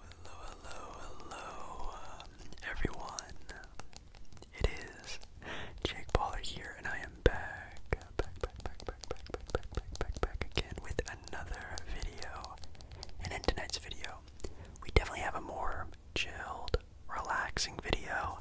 Hello, hello, hello, everyone. It is Jake Baller here, and I am back, back, back, back, back, back, back, back, back, back, back again with another video. And in tonight's video, we definitely have a more chilled, relaxing video,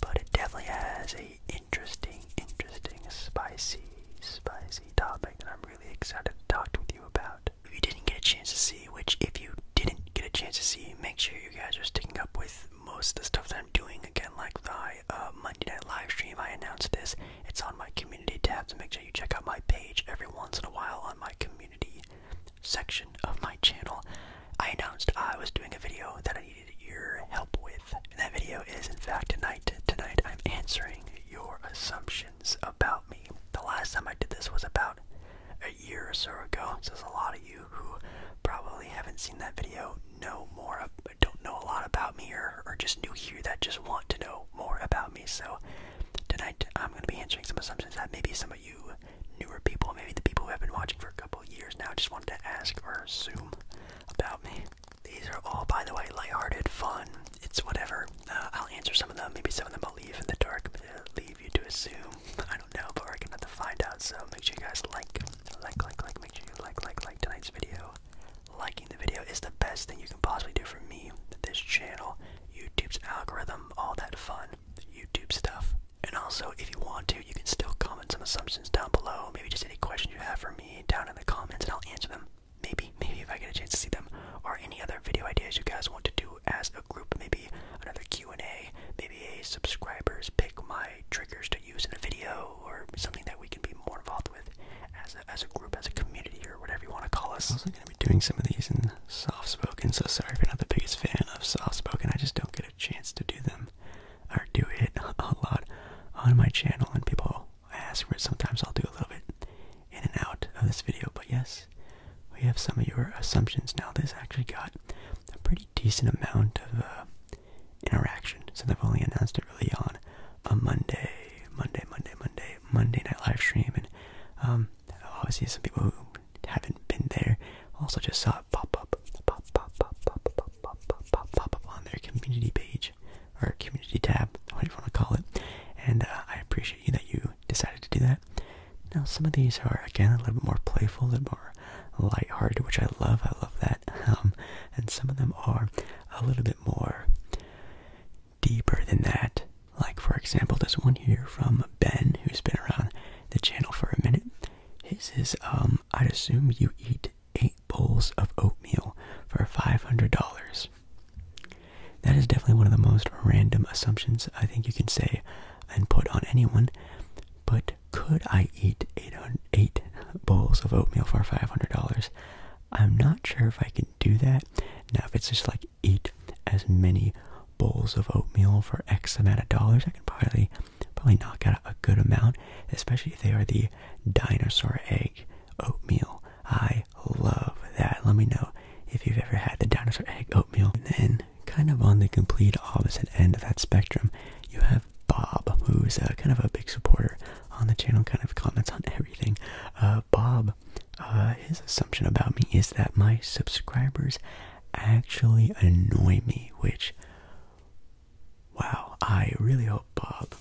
but it definitely has a interesting, interesting, spicy, spicy topic that I'm really excited to talk with you about you didn't get a chance to see, which if you didn't get a chance to see, make sure you guys are sticking up with most of the stuff that I'm doing. Again, like my uh, Monday night live stream, I announced this. It's on my community tab, so make sure you check out my page every once in a while on my community section of my channel. I announced I was doing a video that I needed your help with, and that video is in fact tonight. Tonight I'm answering your assumption about me. The last time I did this was about a year or so ago, so there's a lot of you who probably haven't seen that video, know more, don't know a lot about me, or, or just new here that just want to know more about me. So tonight I'm going to be answering some assumptions that maybe some of you newer people, maybe the people who have been watching for a couple years now, just wanted to ask or assume about me. These are all, by the way, lighthearted, fun it's whatever. Uh, I'll answer some of them. Maybe some of them I'll leave in the dark. Uh, leave you to assume. I don't know, but I are gonna have to find out. So make sure you guys like, like, like, like. Make sure you like, like, like tonight's video. Liking the video is the best thing you can possibly do for me, this channel, YouTube's algorithm, all that fun YouTube stuff. And also, if you want to, you can still comment some assumptions down below. Maybe just any questions you have for me down in the comments, and I'll answer them maybe, maybe if I get a chance to see them, or any other video ideas you guys want to do as a group, maybe another Q&A, maybe a subscribers pick my triggers to use in a video, or something that we can be more involved with as a, as a group, as a community, or whatever you want to call us. I'm going to be doing some of these in soft-spoken, so sorry if you're not the biggest fan of soft-spoken, I just don't get a chance to do them, or do it a lot on my channel, and people I ask for it sometimes I'll do a little bit in and out of this video, but yes, we have some of your assumptions. Now this actually got a pretty decent amount of uh, interaction So they have only announced it really on a Monday, Monday, Monday, Monday, Monday night live stream, and um, obviously some people who haven't been there also just saw it pop up, pop, pop, pop, pop, pop, pop, pop, pop, pop on their community page or community tab, whatever you want to call it, and uh, I appreciate that you decided to do that. Now, some of these are again a little bit more playful, a little more lighthearted, which I love. I love that. Um, and some of them are a little bit more deeper than that. Like, for example, this one here from Ben, who's been around the channel for a minute. His is, um, I'd assume you eat eight bowls of oatmeal for $500. That is definitely one of the most random assumptions I think you can say and put on anyone. But could I eat eight, eight bowls of oatmeal for $500? I'm not sure if I can do that. Now, if it's just like eat as many bowls of oatmeal for X amount of dollars, I can probably probably knock out a good amount, especially if they are the dinosaur egg oatmeal. I love that. Let me know if you've ever had the dinosaur egg oatmeal. And then, kind of on the complete opposite end of that spectrum, you have Bob, who's uh, kind of a big supporter on the channel, kind of comments on everything. Uh, Bob, uh, his assumption about me is that my subscribers actually annoy me, which, wow, I really hope Bob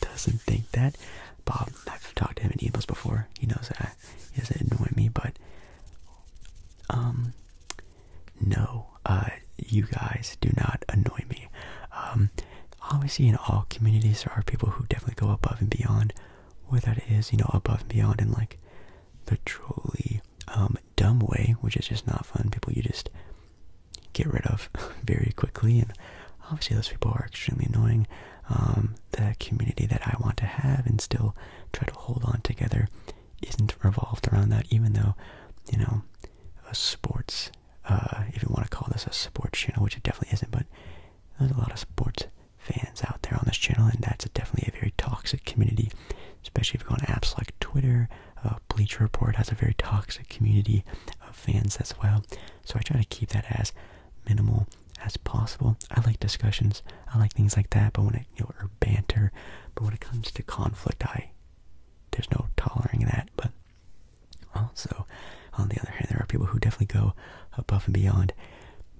doesn't think that. Bob, I've talked to him in emails before. He knows that he doesn't annoy me, but um, no, uh, you guys do not annoy me. Um, obviously, in all communities, there are people who definitely go above and beyond. Whether that is, you know, above and beyond in like the truly um dumb way, which is just not fun. People you just get rid of very quickly, and obviously those people are extremely annoying. Um, the community that I want to have and still try to hold on together isn't revolved around that, even though, you know, a sports, uh, if you want to call this a sports channel, which it definitely isn't, but there's a lot of sports fans out there on this channel, and that's definitely a very toxic community, especially if you go on apps like Twitter. Uh, Bleacher Report has a very toxic community of fans as well, so I try to keep that as minimal as possible. I like discussions. I like things like that. But when it, you know, or banter. But when it comes to conflict, I there's no tolerating that. But also, on the other hand, there are people who definitely go above and beyond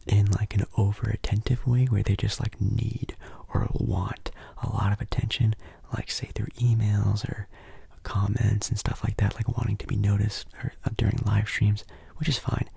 in like an over attentive way where they just like need or want a lot of attention, like say through emails or comments and stuff like that, like wanting to be noticed or, uh, during live streams, which is fine.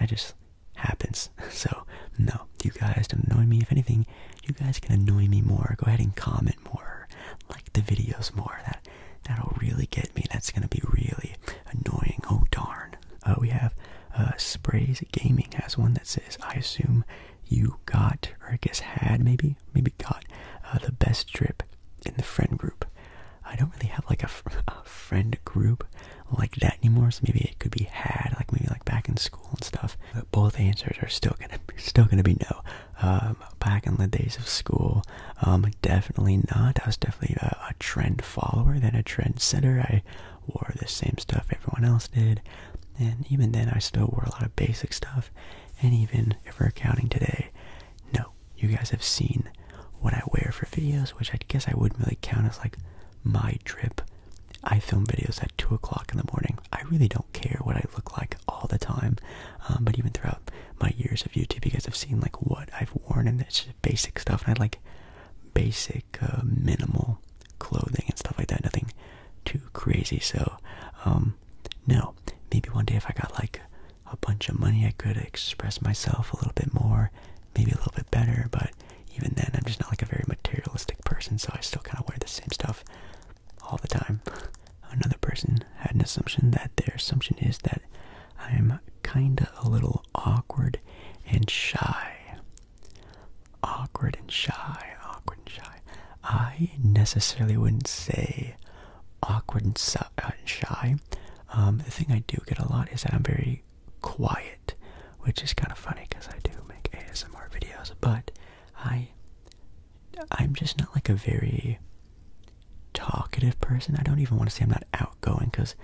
That just happens. So, no, you guys don't annoy me. If anything, you guys can annoy me more. Go ahead and comment more, like the videos more. That that'll really get me. That's gonna be really annoying. Oh darn. Uh, we have uh, Sprays Gaming has one that says, "I assume you got, or I guess had, maybe, maybe got uh, the best drip in the friend group. I don't really have like a, friend group like that anymore. So maybe it could be had, like maybe like back in school and stuff. But both answers are still gonna still gonna be no. Um, back in the days of school, um, definitely not. I was definitely a, trend follower than a trend setter. I wore the same stuff everyone else did, and even then, I still wore a lot of basic stuff. And even if we're counting today, no, you guys have seen what I wear for videos, which I guess I wouldn't really count as like my trip. I film videos at 2 o'clock in the morning. I really don't care what I look like all the time. Um, but even throughout my years of YouTube, you guys have seen like what I've worn and it's just basic stuff. And I like basic, uh, minimal clothing and stuff like that. Nothing too crazy. So, um, no, maybe one day if I got like a bunch of money, I could express myself a little bit more, maybe a little bit better, but even then, I'm just not like a very materialistic person, so I still kind of wear the same stuff all the time. Another person had an assumption that their assumption is that I'm kinda a little awkward and shy. Awkward and shy, awkward and shy. I necessarily wouldn't say awkward and shy and shy. Um, the thing I do get a lot is that I'm very quiet, which is kind of funny because I do make ASMR videos, but I I'm just not like a very talkative person. I don't even want to say I'm not outgoing because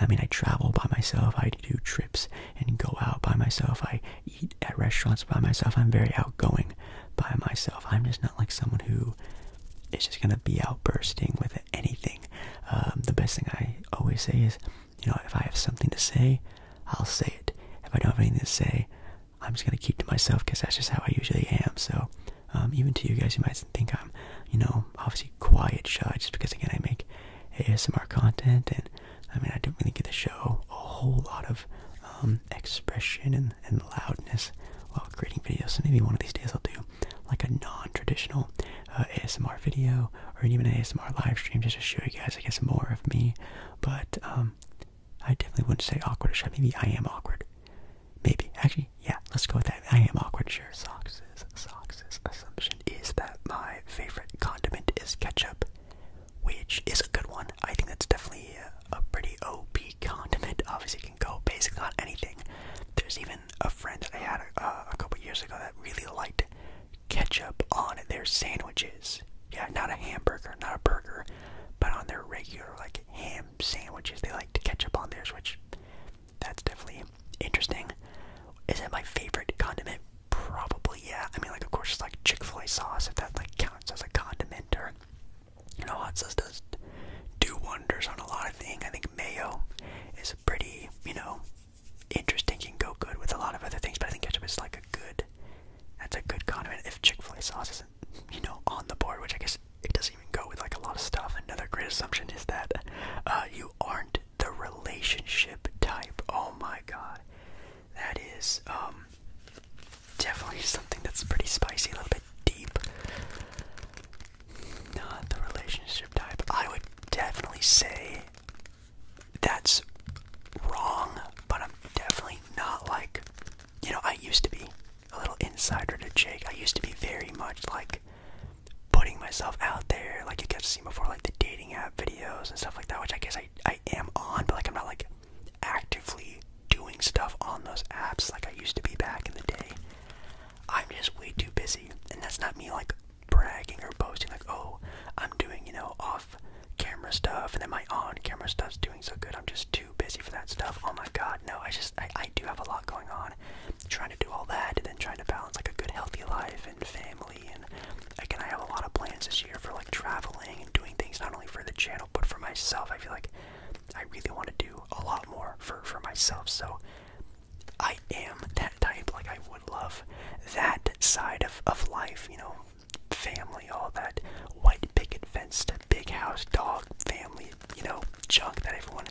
I mean I travel by myself, I do trips and go out by myself, I eat at restaurants by myself. I'm very outgoing by myself. I'm just not like someone who is just gonna be outbursting with anything. Um, the best thing I always say is, you know, if I have something to say, I'll say it. If I don't have anything to say, I'm just gonna keep to myself because that's just how I usually am. So, um, even to you guys you might think I'm, you know, obviously quiet, shy, just because again I make ASMR content and I mean I don't really get to show a whole lot of um, expression and and loudness while creating videos. So maybe one of these days I'll do like a non-traditional uh, ASMR video or even an ASMR live stream just to show you guys, I guess, more of me. But um, I definitely wouldn't say awkward or shy. Maybe I am awkward. Maybe actually, yeah. Let's go with that. I am awkward. Sure. Socks assumption is that my favorite condiment is ketchup, which is a good one. I think that's definitely a pretty OP condiment. Obviously, can go basically on anything. There's even a friend that I had uh, a couple years ago that really liked ketchup on their sandwiches. Yeah, not a hamburger, not a burger, but on their regular like ham sandwiches, they liked ketchup on theirs, which that's definitely interesting. Is it my favorite condiment? Probably, yeah. I mean, like, of course, it's like Chick Fil A sauce, if that like counts as a condiment, or you know, hot sauce does do wonders on a lot of things. I think mayo is pretty, you know, interesting. Can go good with a lot of other things, but I think ketchup is like a good. That's a good condiment. If Chick-fil-A sauce isn't, you know, on the board, which I guess it doesn't even go with like a lot of stuff. Another great assumption is that uh, you aren't the relationship type. Oh my god, that is um definitely something that's pretty spicy, a little bit deep. Not the relationship type. I would definitely say that's wrong, but I'm definitely not like, you know, I used to be a little insider to Jake. I used to be very much like putting myself out there, like you guys have seen before, like the dating app videos and stuff like that, which I guess I, I am on, but like I'm not like actively doing stuff on those apps like I used to be back in the day. I'm just way too busy, and that's not me like bragging or boasting like, oh, I'm doing you know off camera stuff, and then my on camera stuff's doing so good. I'm just too busy for that stuff. Oh my God, no! I just I, I do have a lot going on, trying to do all that, and then trying to balance like a good healthy life and family, and again I have a lot of plans this year for like traveling and doing things not only for the channel but for myself, I feel like I really want to do a lot more for for myself. So I am that type. Like I would love that side of of life. You know, family, all that white picket fence big house, dog, family. You know, junk that everyone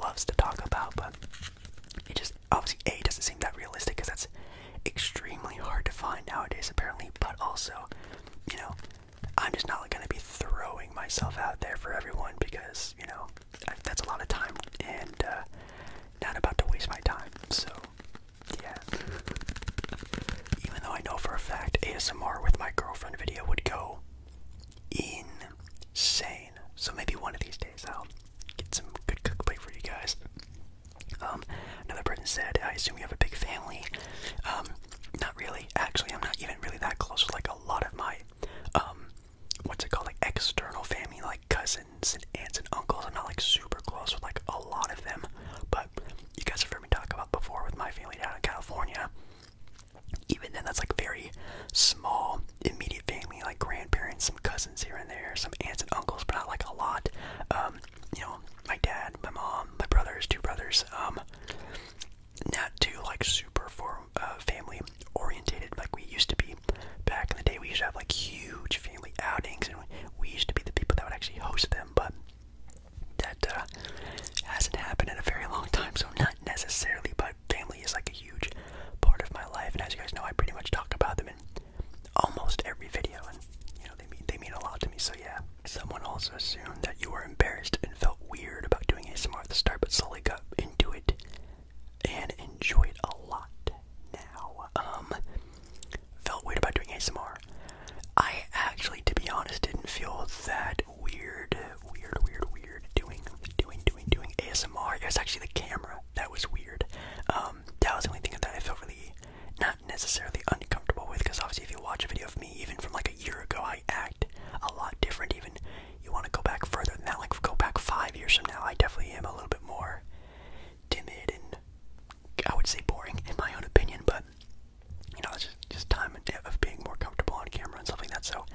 loves to talk about, but it just obviously a doesn't seem that realistic because that's extremely hard to find nowadays apparently but also you know I'm just not going to be throwing myself out there for everyone because, you know, that's a lot of time and uh, not about to waste my time. So, yeah. Even though I know for a fact ASMR with my girlfriend video would go insane. So maybe one of these days I'll get some good cookplay for you guys. Um, another person said, I assume you have a big family. Um, not really. Actually, I'm not even really that close with like a lot of my, um, what's it called, like external family, like cousins and aunts and uncles. I'm not like super close with like a lot of them, but you guys have heard me talk about before with my family down in California. Even then, that's like very small, immediate family, like grandparents, some cousins here and there, some aunts and uncles, but not like a lot. Um, you know, my dad, my mom, my brothers, two brothers, um, not too like super for uh, family orientated like we used to be back in the day. We used to have like huge family outings, and we used to be the people that would actually host them. But that uh, hasn't happened in a very long time, so not necessarily. But family is like a huge part of my life, and as you guys know, I pretty much talk about them in almost every video, and you know they mean they mean a lot to me. So yeah, Someone also assumed that you were embarrassed and felt weird about doing ASMR at the start, but slowly got into it and enjoy it a lot now. Um, felt weird about doing ASMR. I actually, to be honest, didn't feel that weird, weird, weird, weird doing, doing, doing, doing ASMR. It was actually the camera that was weird. Um, that was the only thing that I felt really not necessarily uncomfortable with, because obviously, if you watch a video of me, even from like a year ago, I might act a lot different. Even you want to go back further than that, like go back five years from now. I definitely am a little bit more timid and I would say boring in my own opinion, but you know, it's just, just time of being more comfortable on camera and stuff like that. So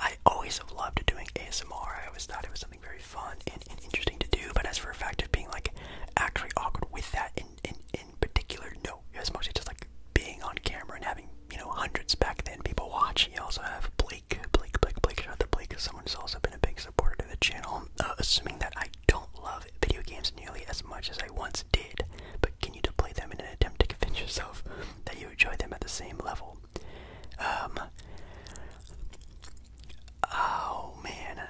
I always have loved doing ASMR. I always thought it was something very fun and, and interesting to do. But as for a fact of being like actually awkward with that and, and, in particular? No. It was mostly just like being on camera and having, you know, hundreds back then people watch. You also have Blake, Blake, Blake, Blake, shout out to Blake, someone who's also been a big supporter of the channel. Uh, assuming that I don't love video games nearly as much as I once did, but continue to play them in an attempt to convince yourself that you enjoy them at the same level? Um. Oh man,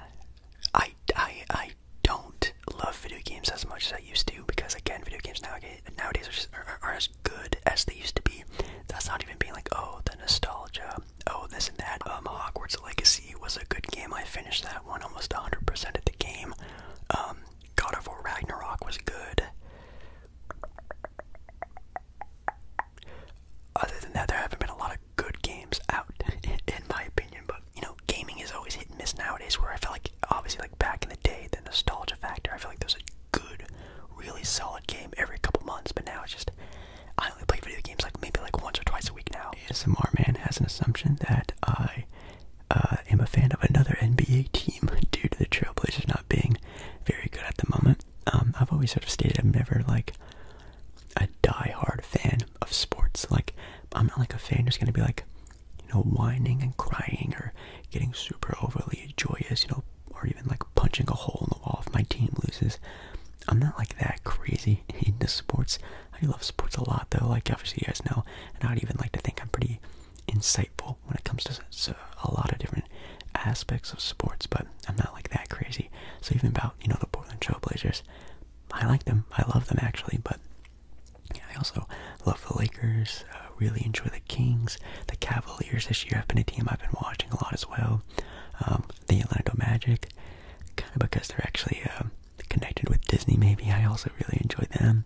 I I I don't love video games as much as I used to because again, video games nowadays nowadays are just are, as good as they used to be. That's not even being like oh the nostalgia, oh this and that. Um, Hogwarts Legacy was a good game. I finished that one almost 100% of the game. Um, God of War Ragnarok was good. Other than that, there haven't been a lot of good games out, in my opinion. But you know, gaming is always hit and miss nowadays. Where I feel like, obviously, like back in the day, the nostalgia factor. I feel like there's a good, really solid game every couple months. But now it's just, I only play video games like maybe like once or twice a week now. ASMR man has an assumption that I uh, am a fan of another NBA team due to the Trailblazers not being very good at the moment. Um, I've always sort of stated I'm never like a die-hard fan of sports. Like I'm not like a fan Just gonna be like, you know, whining and crying or getting super overly joyous, you know, or even like punching a hole in the wall if my team loses. I'm not like that crazy into sports. I love sports a lot though, like obviously you guys know, and I'd even like to think I'm pretty insightful when it comes to a lot of different aspects of sports, but I'm not like that crazy. So even about, you know, the Portland Trailblazers, I like them. I love them actually, but I also love the Lakers. Uh, really enjoy the Kings. The Cavaliers this year have been a team I've been watching a lot as well. Um, the Orlando Magic, kind of because they're actually um, connected with Disney. Maybe I also really enjoy them.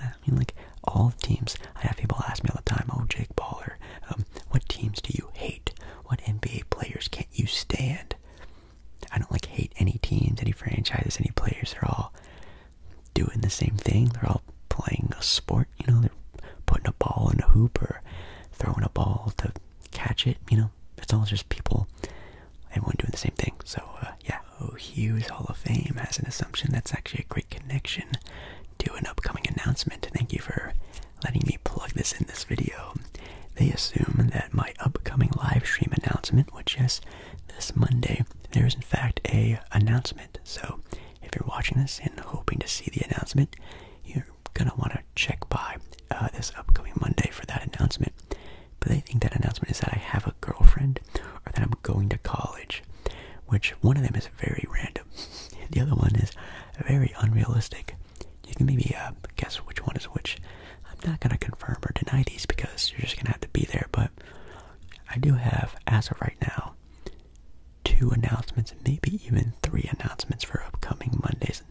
Yeah, I mean, like all teams. I have people ask me all the time, "Oh, Jake Baller, um, what teams do you hate? What NBA players can't you stand?" I don't like hate any teams, any franchises, any players. at all doing the same thing. They're all playing a sport, you know, they're putting a ball in a hoop or throwing a ball to catch it, you know. It's all just people, everyone doing the same thing. So, uh, yeah. Oh, Hughes Hall of Fame has an assumption that's actually a great connection to an upcoming announcement. Thank you for letting me plug this in this video. They assume that my upcoming live stream announcement, which, yes, this Monday, there is in fact a announcement. So if you're watching this and hoping to see the announcement, you're gonna want to check by uh, this upcoming Monday for that announcement. But I think that announcement is that I have a girlfriend or that I'm going to college, which one of them is very random. The other one is very unrealistic. You can maybe uh, guess which one is which. I'm not gonna confirm or deny these because you're just gonna have to be there. But I do have, as of right now, two announcements, maybe even three announcements for upcoming Monday's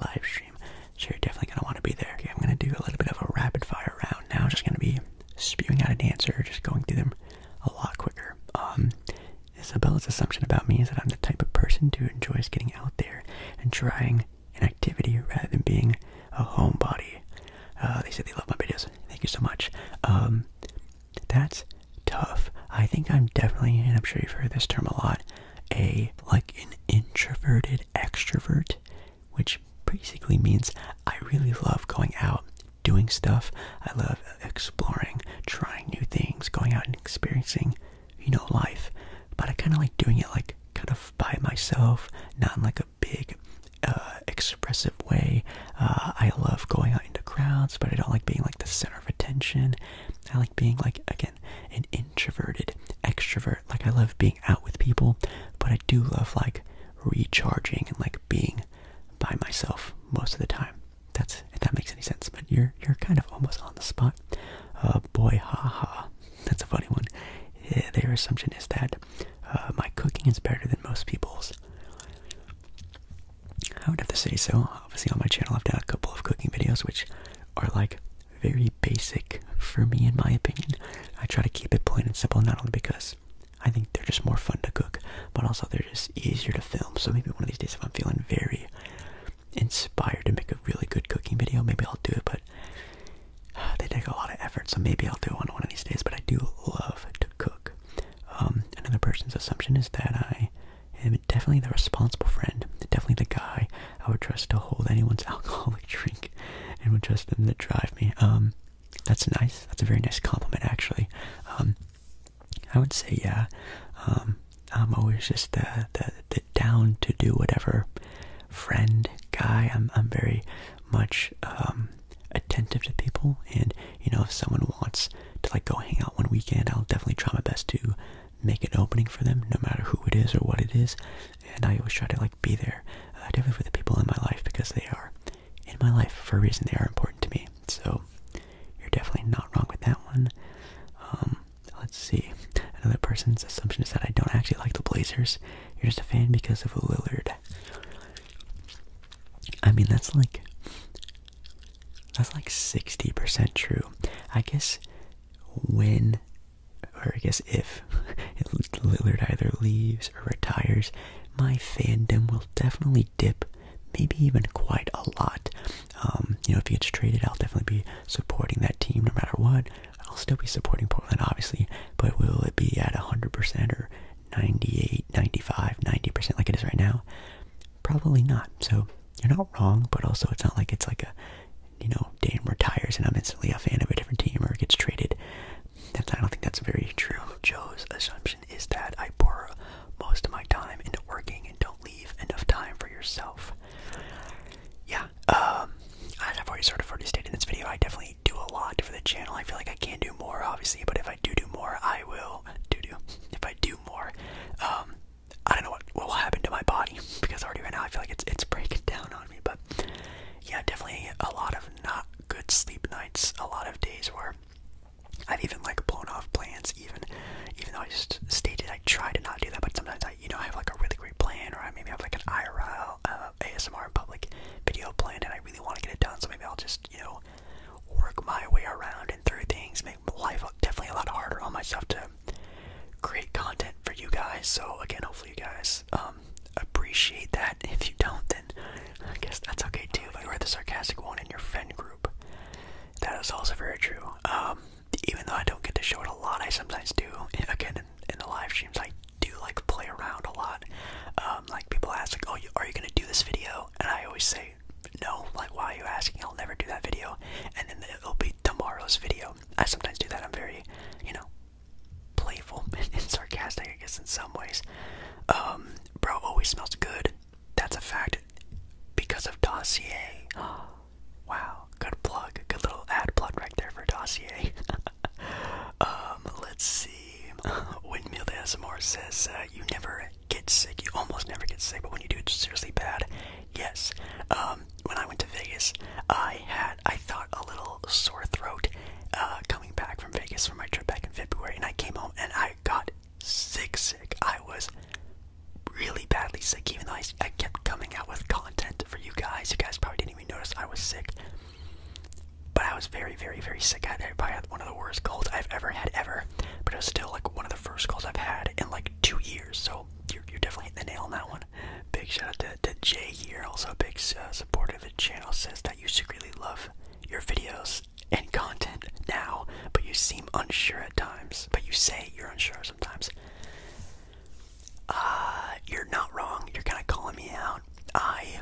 live stream. So you're definitely going to want to be there. I'm going to do a little bit of a rapid fire round now. Just going to be spewing out an answer, just going through them a lot quicker. Um, Isabella's assumption about me is that I'm the type of person who enjoys getting out there and trying an activity rather than being a homebody. Uh, they said they love my videos. Thank you so much. Um, that's tough. I think I'm definitely, and I'm sure you've heard this term a lot, a like an introverted extrovert, which basically means I really love going out, doing stuff. I love exploring, trying new things, going out and experiencing, you know, life. But I kind of like doing it like kind of by myself, not in like a big, uh, expressive way. Uh, I love going out into crowds, but I don't like being like the center of attention. I like being like, again, an introverted extrovert. Like, I love being out with people, but I do love like recharging and like being by myself most of the time. That's if that makes any sense, but you're you're kind of almost on the spot. Uh, boy. Ha ha that's a funny one. Their assumption is that uh, my cooking is better than most people's. I would have to say so. Obviously, on my channel, I've done a couple of cooking videos, which are like very basic for me, in my opinion. I try to keep it plain and simple, not only because I think they're just more fun to cook, but also they're just easier to film. So maybe one of these days, if I'm feeling very inspired to make a really good cooking video, maybe I'll do it. But uh, they take a lot of effort, so maybe I'll do one one of these days. But I do love to cook. Um, another person's assumption is that I am definitely the responsible friend, definitely the guy I would trust to hold anyone's alcoholic drink, and would trust them to drive me. Um, that's nice. That's a very nice compliment, actually. Um, I would say, yeah. Um, I'm always just the, the the down to do whatever friend guy. I'm I'm very much um, attentive to people. And you know, if someone wants to like go hang out one weekend, I'll definitely try my best to make an opening for them, no matter who it is or what it is. And I always try to like be there, uh, definitely for the people in my life because they are in my life for a reason. They are important to me. So you're definitely not wrong with that one. Um, let's see. Another person's assumption is that I don't actually like the Blazers. You're just a fan because of Lillard. I mean, that's like that's like 60% true. I guess when or I guess if Lillard either leaves or retires, my fandom will definitely dip, maybe even quite a lot. Um, you know, if he gets traded, I'll definitely be supporting that team no matter what. I'll still be supporting Portland, obviously, but will it be at 100% or 98, 95, 90% like it is right now? Probably not. So you're not wrong, but also it's not like it's like a, you know, Dan retires and I'm instantly a fan of a different team or gets traded. That's, I don't think that's very true. Joe's assumption is that I pour most of my time into working and don't leave enough time for yourself. Yeah, um, I've already sort of already stated in this video, I definitely do a lot for the channel. I feel like I can do more, obviously, but if I do do more, I will do do. If I do more, um, I don't know what, will happen to my body because already right now I feel like it's it's breaking down on me. But yeah, definitely a lot of not good sleep nights. A lot of days where I've even like blown off plans, even even though I just stated I try to not do that. But sometimes I, you know, I have like a really great plan, or I maybe have like an IRL. Uh, ASMR public video planned, and I really want to get it done. So maybe I'll just, you know, work my way around and through things. Make life definitely a lot harder on myself to create content for you guys. So again, hopefully you guys um, appreciate that. If you don't, then I guess that's okay too. But you're the sarcastic one in your friend group. That is also very true. Um, even though I don't get to show it a lot, I sometimes do. Again, in, in the live streams, like do like play around a lot. Um, like people ask, like, "Oh, are you gonna do this video?" And I always say, "No." Like, why are you asking? I'll never do that video. And then it'll be tomorrow's video. I sometimes do that. I'm very, you know, playful and sarcastic, I guess, in some ways. Um, bro always smells good. That's a fact. Because of Dossier. wow, good plug. Good little ad plug right there for Dossier. Um, let's see. Windmill S M R says uh, you never get sick. You almost never get sick, but when you do, it's seriously bad. Yes. Um, when I went to Vegas, I had I thought a little sore throat uh, coming back from Vegas for my trip back in February, and I came home and I got sick. Sick. I was really badly sick, even though I, I kept coming out with content for you guys. You guys probably didn't even notice I was sick. But I was very, very, very sick. I had probably had one of the worst colds I've ever had ever. But it was still like one of the first colds I've had in like two years. So you're, you're definitely hitting the nail on that one. Big shout out to, to Jay here, also a big uh, supporter of the channel, says that you secretly love your videos and content now, but you seem unsure at times. But you say you're unsure sometimes. Uh, you're not wrong. You're kind of calling me out. I,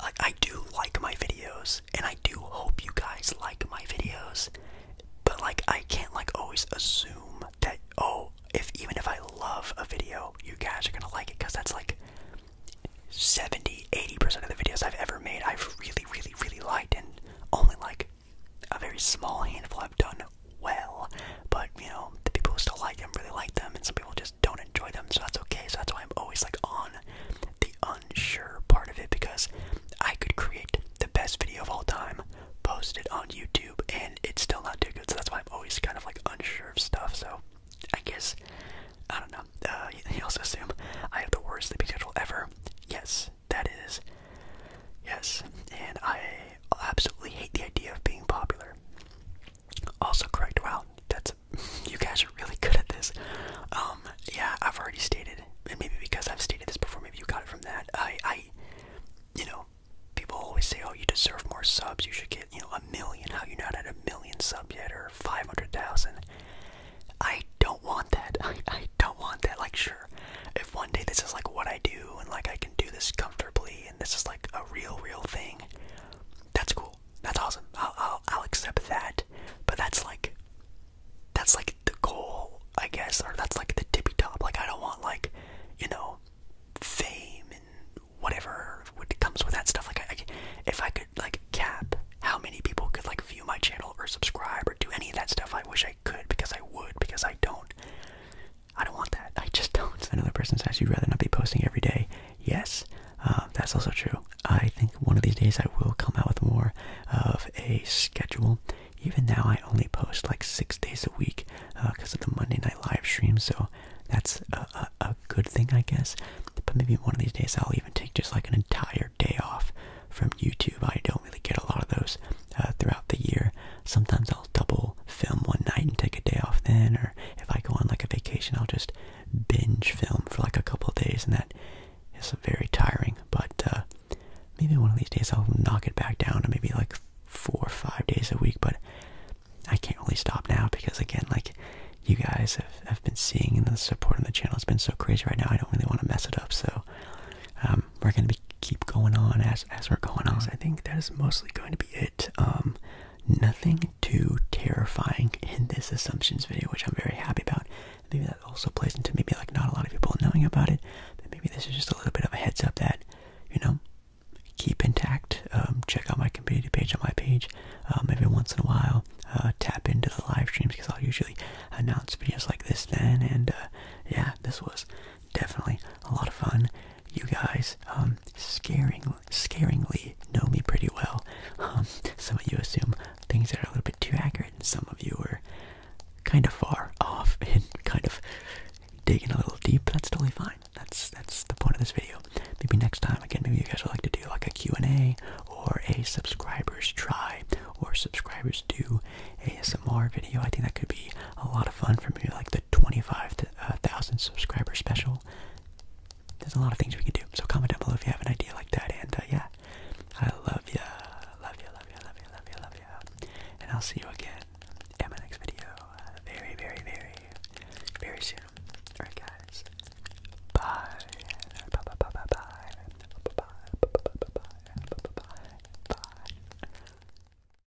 I, I do like my videos, and I do hope you guys like my videos. But like, I can't like always assume that oh, if even if I love a video, you guys are gonna like it because that's like 70, 80 percent of the videos I've ever made. I've really, really, really liked, and only like a very small handful I've done well, but you know, the people who still like them really like them, and some people just don't enjoy them, so that's okay. So that's why I'm always like on the unsure part of it because I could create the best video of all time, post it on YouTube, and it's still not too good. So that's why I'm always kind of like unsure of stuff. So I guess I don't know. Uh, you also assume I have the worst sleeping ever. Yes, that is. Yes, and I I absolutely hate the idea of being popular. Also correct. Wow, that's you guys are really good at this. Um, yeah, I've already stated, and maybe because I've stated this before, maybe you got it from that. I, I, you know, people always say, "Oh, you deserve more subs. You should get, you know, a million. How you not at a million sub yet, or five hundred thousand? I don't want that. I, I don't want that. Like, sure, if one day this is like what I do, and like I can do this comfortably, this is like a real, real thing. That's cool. That's awesome. I'll, accept that. But that's like, that's like the goal, I guess, or that's like the tippy top. Like I don't want like, you know, fame and whatever what comes with that stuff. Like I, if I could like cap how many people could like view my channel or subscribe or do any of that stuff, I wish I could because I would because I don't. I don't want that. I just don't. Another person says you'd rather not be posting every day. Yes, uh, that's also true. I think one of these days I will come out with more of a schedule. Even now, I only post like six days a week because uh, of the Monday night live stream. So that's a, good thing, I guess. But maybe one of these days I'll even take just like an entire day off from YouTube. I don't really get a lot of those uh, throughout the year. Sometimes I'll double film one night and take a day off then, or if I go on like a vacation, I'll just binge film for like a couple of days, and that is very tiring. But uh, maybe one of these days I'll knock it back down to maybe like four or five days a week. But I can't really stop now because again, like you guys have, been seeing, and the support on the channel has been so crazy right now. I don't really want to mess it up, so um, we're gonna keep going on as we're going on. I think that is mostly going to. be it. Um, nothing too terrifying in this assumptions video, which I'm very happy about. Maybe that also plays into maybe like not a lot of people knowing about it. But maybe this is just a little bit of a heads up that you know keep intact. Um, check out my community page on my page. Um, every once in a while, uh, tap into the live streams because I'll usually announce videos like this then. And uh, yeah, this was definitely a lot of fun. You guys, um, scaring, scaringly know me pretty well. Um, some of you assume things that are a little bit too accurate, and some of you are kind of far off and kind of digging a little deep. That's totally fine. That's that's the point of this video. Maybe next time, again, maybe you guys would like to do like a Q&A or a subscribers try or subscribers do ASMR video. I think that could be a lot of fun for me, like the 25 to uh, thousand subscriber special. There's a lot of things we can do. So comment down below if you have an idea like that. And uh, yeah, I love ya, love ya, love ya, love ya, love ya, love ya. And I'll see you again in my next video, uh, very, very, very, very soon. All right, guys. Bye. Bye. Bye. Bye. Bye. Bye. Bye. Bye. Bye. Bye. Bye. Bye.